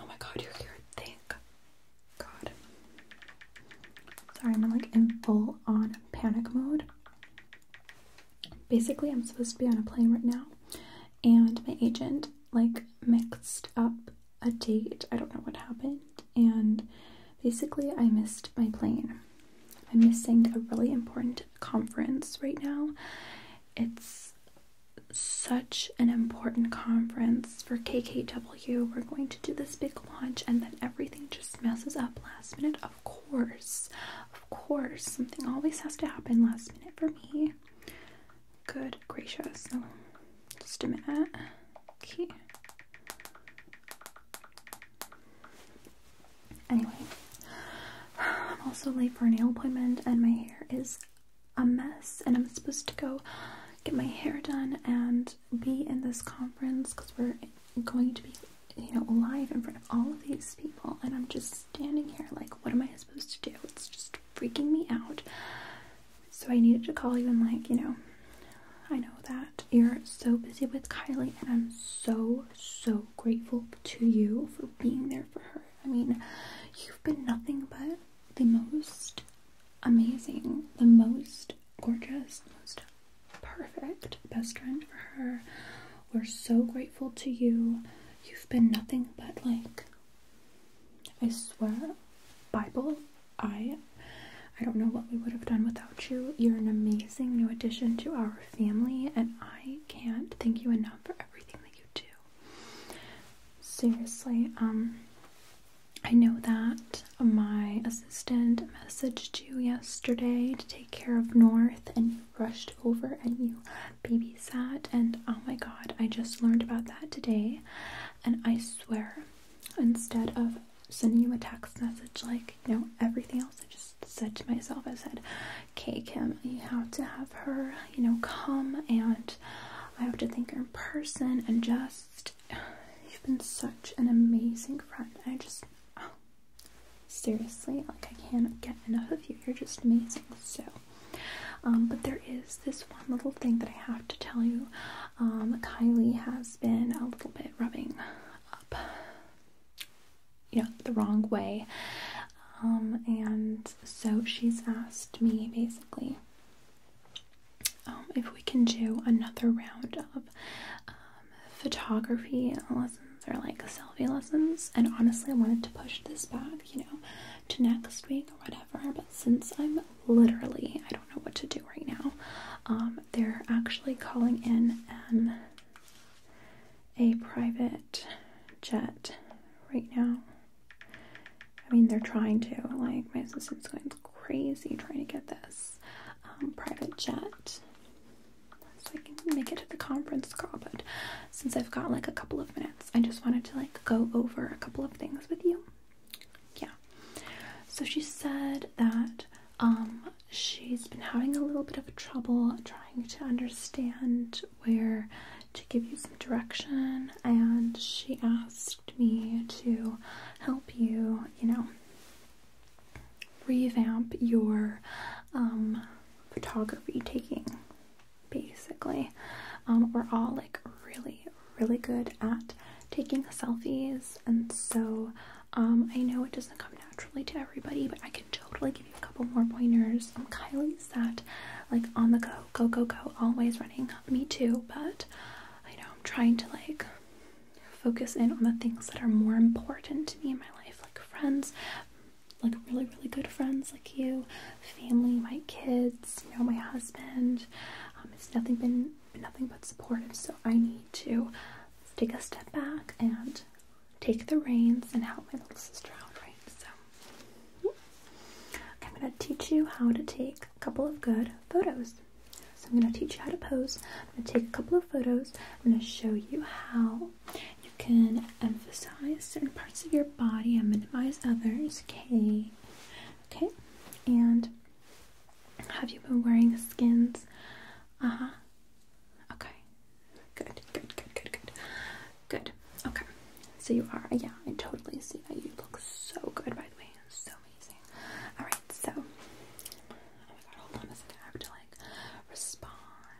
Oh my god, you're here! Thank God. Sorry, I'm like in full on panic mode. Basically, I'm supposed to be on a plane right now, and my agent like mixed up a date. I don't know what happened and basically I missed my plane. I'm missing a really important conference right now. It's such an important conference for KKW. We're going to do this big launch and then everything just messes up last minute. Of course. Of course. Something always has to happen last minute for me. Good gracious. So oh, just a minute. Okay. Anyway, I'm also late for a nail appointment and my hair is a mess and I'm supposed to go get my hair done and be in this conference because we're going to be you know live in front of all of these people and I'm just standing here like what am I supposed to do? It's just freaking me out. So I needed to call you and like, you know, I know that you're so busy with Kylie, and I'm so, so grateful to you for being there for her. I mean, you've been nothing but the most amazing, the most gorgeous, most perfect best friend for her. We're so grateful to you. You've been nothing but like, I swear, Bible. I I don't know what we would have done without you. You're an amazing new addition to our family, and I can't thank you enough for everything that you do. Seriously, um, I know that my assistant messaged you yesterday to take care of North, and you rushed over and you babysat, and oh my god, I just learned about that today, and I swear, instead of sending you a text message like, you know, everything else. I just said to myself, I said, okay, Kim, you have to have her, you know, come and I have to think her in person and just, you've been such an amazing friend. I just, oh, seriously, like I can't get enough of you. You're just amazing. So, um, but there is this one little thing that I have to tell you. Um, Kylie has been a little bit rubbing up you know, the wrong way. Um, and so she's asked me basically um, if we can do another round of um, photography lessons or like selfie lessons. And honestly, I wanted to push this back, you know, to next week or whatever. But since I'm literally, I don't know what to do right now, they're actually calling in a private jet right now. I mean, they're trying to. Like, my assistant's going crazy trying to get this um, private jet so I can make it to the conference call. But since I've got like a couple of minutes, I just wanted to like go over a couple of things with you. Yeah. So she said that um, she's been having a little bit of trouble trying to understand where to give you some direction, and she asked me to help you, you know, revamp your um, photography taking. Basically, um, we're all like really, really good at taking selfies and so um, I know it doesn't come naturally to everybody, but I can totally give you a couple more pointers. Um, Kylie's that like on the go, go, go, go, always running. Me too, but I know I'm trying to like focus in on the things that are more important to me in my life, like friends, like really, really good friends like you, family, my kids, you know, my husband. Um, it's nothing been nothing but supportive, so I need to take a step back and take the reins and help my little sister out, right? So, I'm going to teach you how to take a couple of good photos. So, I'm going to teach you how to pose. I'm going to take a couple of photos. I'm going to show you how you can emphasize certain parts of your body and minimize others. Okay, okay, and have you been wearing skins? Uh huh. Okay. Good, good, good, good, good. Good. Okay. So you are, yeah, I totally see that. You look so good, by the way. So amazing. Alright, so. Oh hold on a second. I have to, like, respond.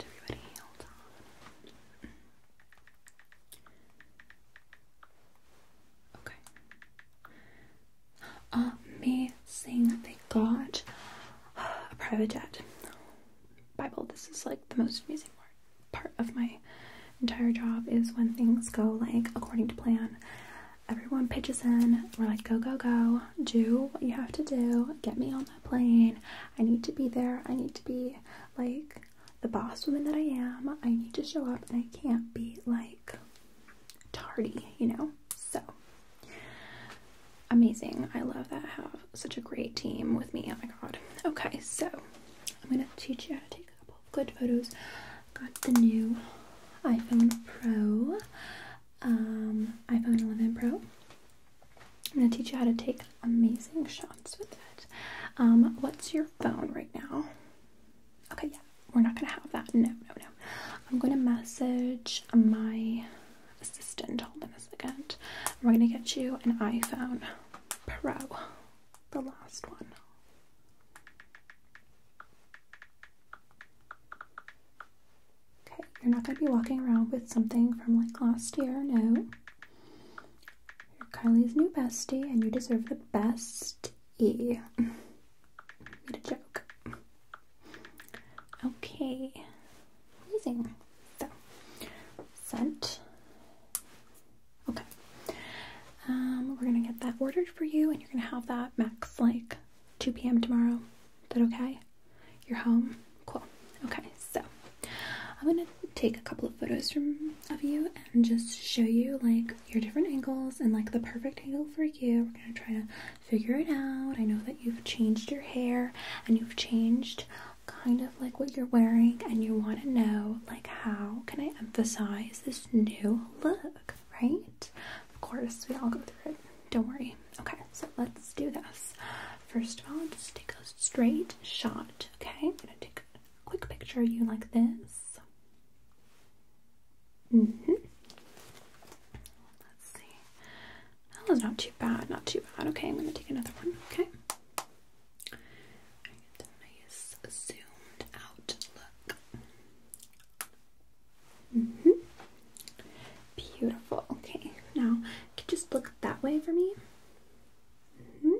Everybody, hold on. Okay. Amazing. They got a private jet. Bible, this is like the most amazing part of my entire job is when things go like according to plan. Everyone pitches in. We're like, go, go, go. Do what you have to do. Get me on that plane. I need to be there. I need to be like the boss woman that I am. I need to show up and I can't be like tardy, you know? So amazing. I love that I have such a great team with me. Oh my god. Okay, so I'm gonna teach you how to take a couple of good photos. Got the new iPhone Pro, um, iPhone 11 Pro. I'm gonna teach you how to take amazing shots with it. Um, what's your phone right now? Okay, yeah, we're not gonna have that. No, no, no. I'm gonna message my assistant. Hold on a second. We're gonna get you an iPhone Pro, the last one. Okay, you're not gonna be walking around with something from like last year, no. You're Kylie's new bestie, and you deserve the best E. What a joke. Okay. Amazing. So, scent. Okay. Um, we're gonna get that ordered for you, and you're gonna have that max like 2 p.m. tomorrow. Is that okay? You're home. Cool. Okay. So, I'm gonna take a couple of photos from of you and just show you like your different angles and like the perfect angle for you. We're gonna try to figure it out. I know that you've changed your hair and you've changed kind of like what you're wearing, and you want to know, like, how can I emphasize this new look, right? Of course, we all go through it. Don't worry. Okay, so let's do this. First of all, just take a straight shot, okay? I'm gonna take a quick picture of you like this. Mm-hmm. Let's see. That was not too bad, not too bad. Okay, I'm gonna take another one. Okay. nice zoomed out look. -hmm. Beautiful. Okay, now can just look that way for me? -hmm.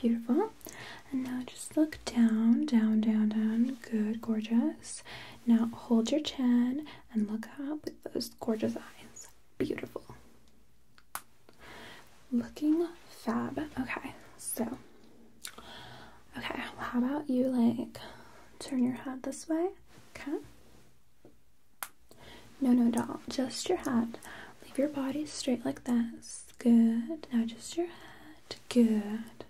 Beautiful. And now just look down, down, down, down. Good, gorgeous. Now hold your chin and look up with those gorgeous eyes. Beautiful. Looking fab. Okay, so. Okay, how about you like turn your head this way? Okay. No, no, doll. Just your head. Leave your body straight like this. Good. Now just your head. Good.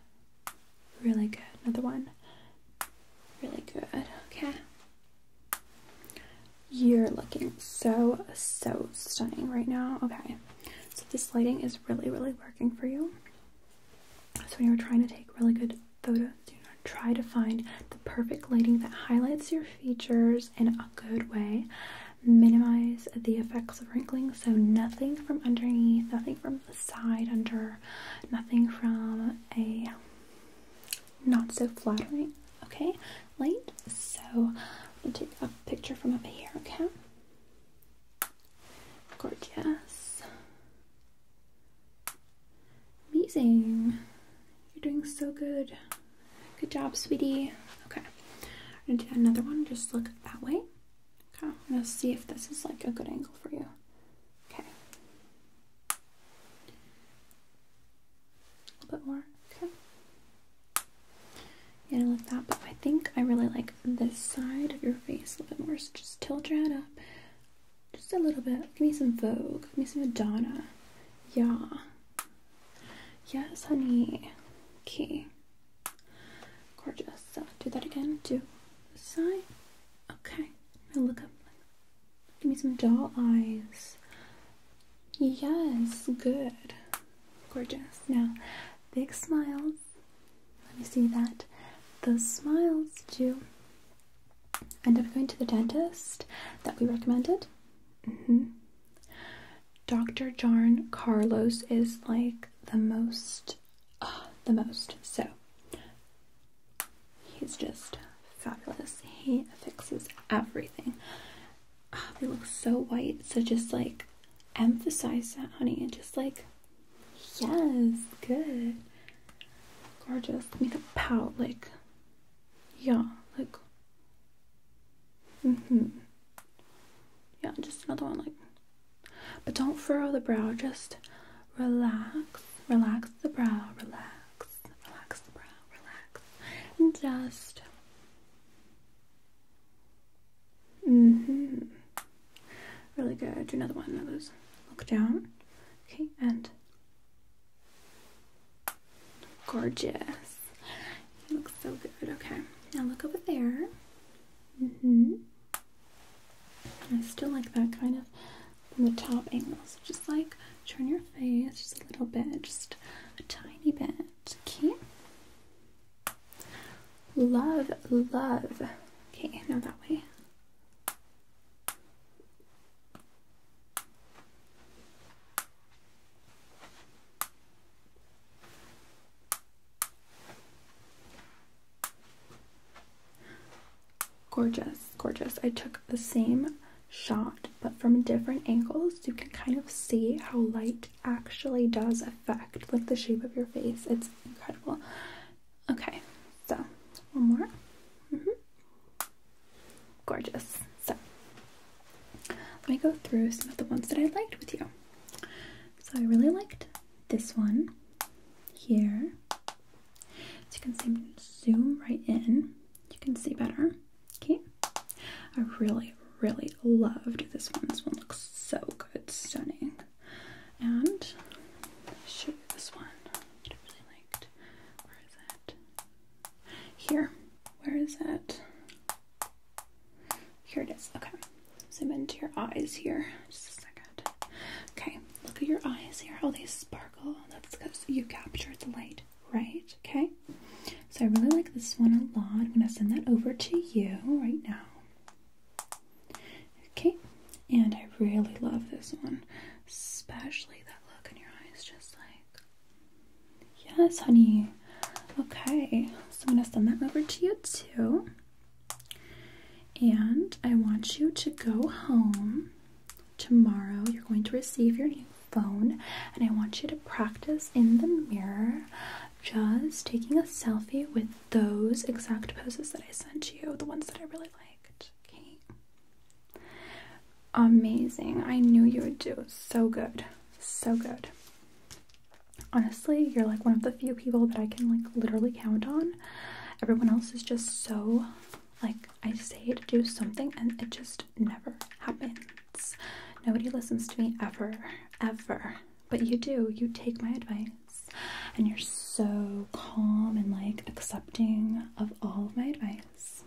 Really good. Another one. Really good. Okay. You're looking so, so stunning right now. Okay. So this lighting is really, really working for you. So you're trying to take really good photos, do not try to find the perfect lighting that highlights your features in a good way. Minimize the effects of wrinkling, so nothing from underneath, nothing from side under, nothing from a not so flattering, okay, light. So I'm gonna take a picture from up here, okay? Gorgeous. Amazing. You're doing so good. Good job, sweetie. Okay. I'm gonna do another one, just look that way. Okay, let's see if this is like a good angle for you. Okay. A little bit more. Okay. You like that, but I think I really like this side of your face a little bit more. So just tilt your head up just a little bit. Give me some Vogue. Give me some Madonna. Yeah. Yes, honey. Okay. Gorgeous. So do that again Do the side. Okay. Now look up. Give me some doll eyes. Yes, good. Gorgeous. Now, big smiles. Let me see that. Those smiles do end up going to the dentist that we recommended. Mm -hmm. Dr. John Carlos is like the most uh, the most. So he's just fabulous. He fixes everything. Ah, he looks so white. So just like emphasize that, honey, and just like yes, good, gorgeous. Make it pout like yeah, like mm hmm. Yeah, just another one like but don't furrow the brow, just relax, relax the brow, relax, relax the brow, relax, and just. Mm hmm. Really good. Do another one of those. Look down. Okay, and. Gorgeous. You look so good. Okay, now look over there. Mm hmm. I still like that kind of from the top angle. So just like turn your face just a little bit, just a tiny bit. Okay. Love, love. Okay, now that way. Gorgeous, gorgeous. I took the same shot but from different angles. You can kind of see how light actually does affect like the shape of your face. It's incredible. Okay, so one more. Mm-hmm. Gorgeous. So let me go through some of the ones that I liked with you. So I really liked this one here. So you can see, zoom right in. You can see better. Okay. I really, really loved this one. This one looks so good, stunning. And show you this one I really liked. Where is that? Here. Where is it? Here it is. Okay. Zoom into your eyes here. Just a second. Okay. Look at your eyes here, how they sparkle. That's because you captured the light, right? Okay. So I really like this one a lot. I'm going to send that over to you right now. Okay. And I really love this one, especially that look in your eyes, just like, yes, honey. Okay. So I'm going to send that over to you too. And I want you to go home. Tomorrow, you're going to receive your new phone, and I want you to practice in the mirror just taking a selfie with those exact poses that I sent you, the ones that I really liked. Okay. Amazing. I knew you would do so good. So good honestly, you're like one of the few people that I can like literally count on. Everyone else is just so like I say to do something and it just never happens. Nobody listens to me ever, ever. But you do. You take my advice and you're so calm and like accepting of all of my advice.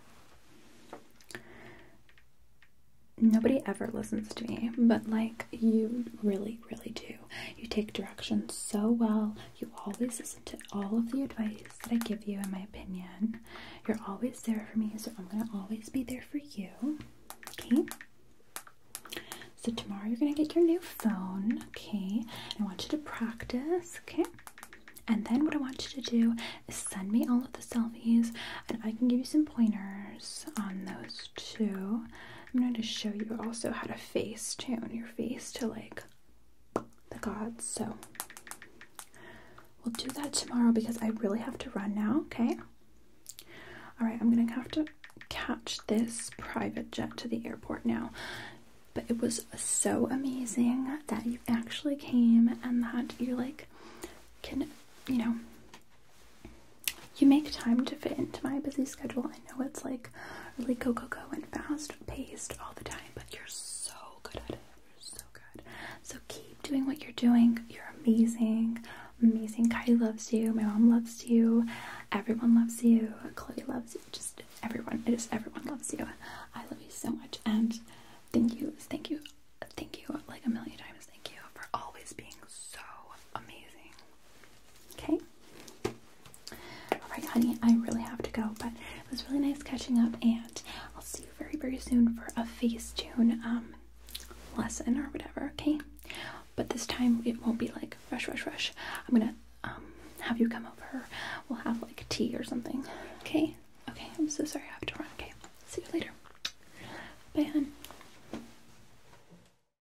Nobody ever listens to me, but like you really, really do. You take directions so well. You always listen to all of the advice that I give you, in my opinion. You're always there for me, so I'm gonna always be there for you. Okay? So, tomorrow you're gonna get your new phone, okay? I want you to practice, okay? And then, what I want you to do is send me all of the selfies, and I can give you some pointers on those to, i I'm going to show you also how to face tune your face to like the gods. So we'll do that tomorrow because I really have to run now, okay? All right, I'm going to have to catch this private jet to the airport now. But it was so amazing that you actually came and that you like can, you know, you make time to fit into my busy schedule. I know it's like really go, go, go and fast paced all the time, but you're so good at it. You're so good. So keep doing what you're doing. You're amazing. Amazing. Kylie loves you. My mom loves you. Everyone loves you. Chloe loves you. Just everyone. Just everyone loves you. I love you so much. And thank you. Thank you. Thank you like a million times. Thank you for always being so amazing. Okay. All right, honey, I really have to go, but it was really nice catching up, and I'll see you very, very soon for a face tune um, lesson or whatever, okay? But this time it won't be like rush, rush, rush. I'm gonna um, have you come over. We'll have like tea or something, okay? Okay, I'm so sorry I have to run, okay? See you later. Bye, hon.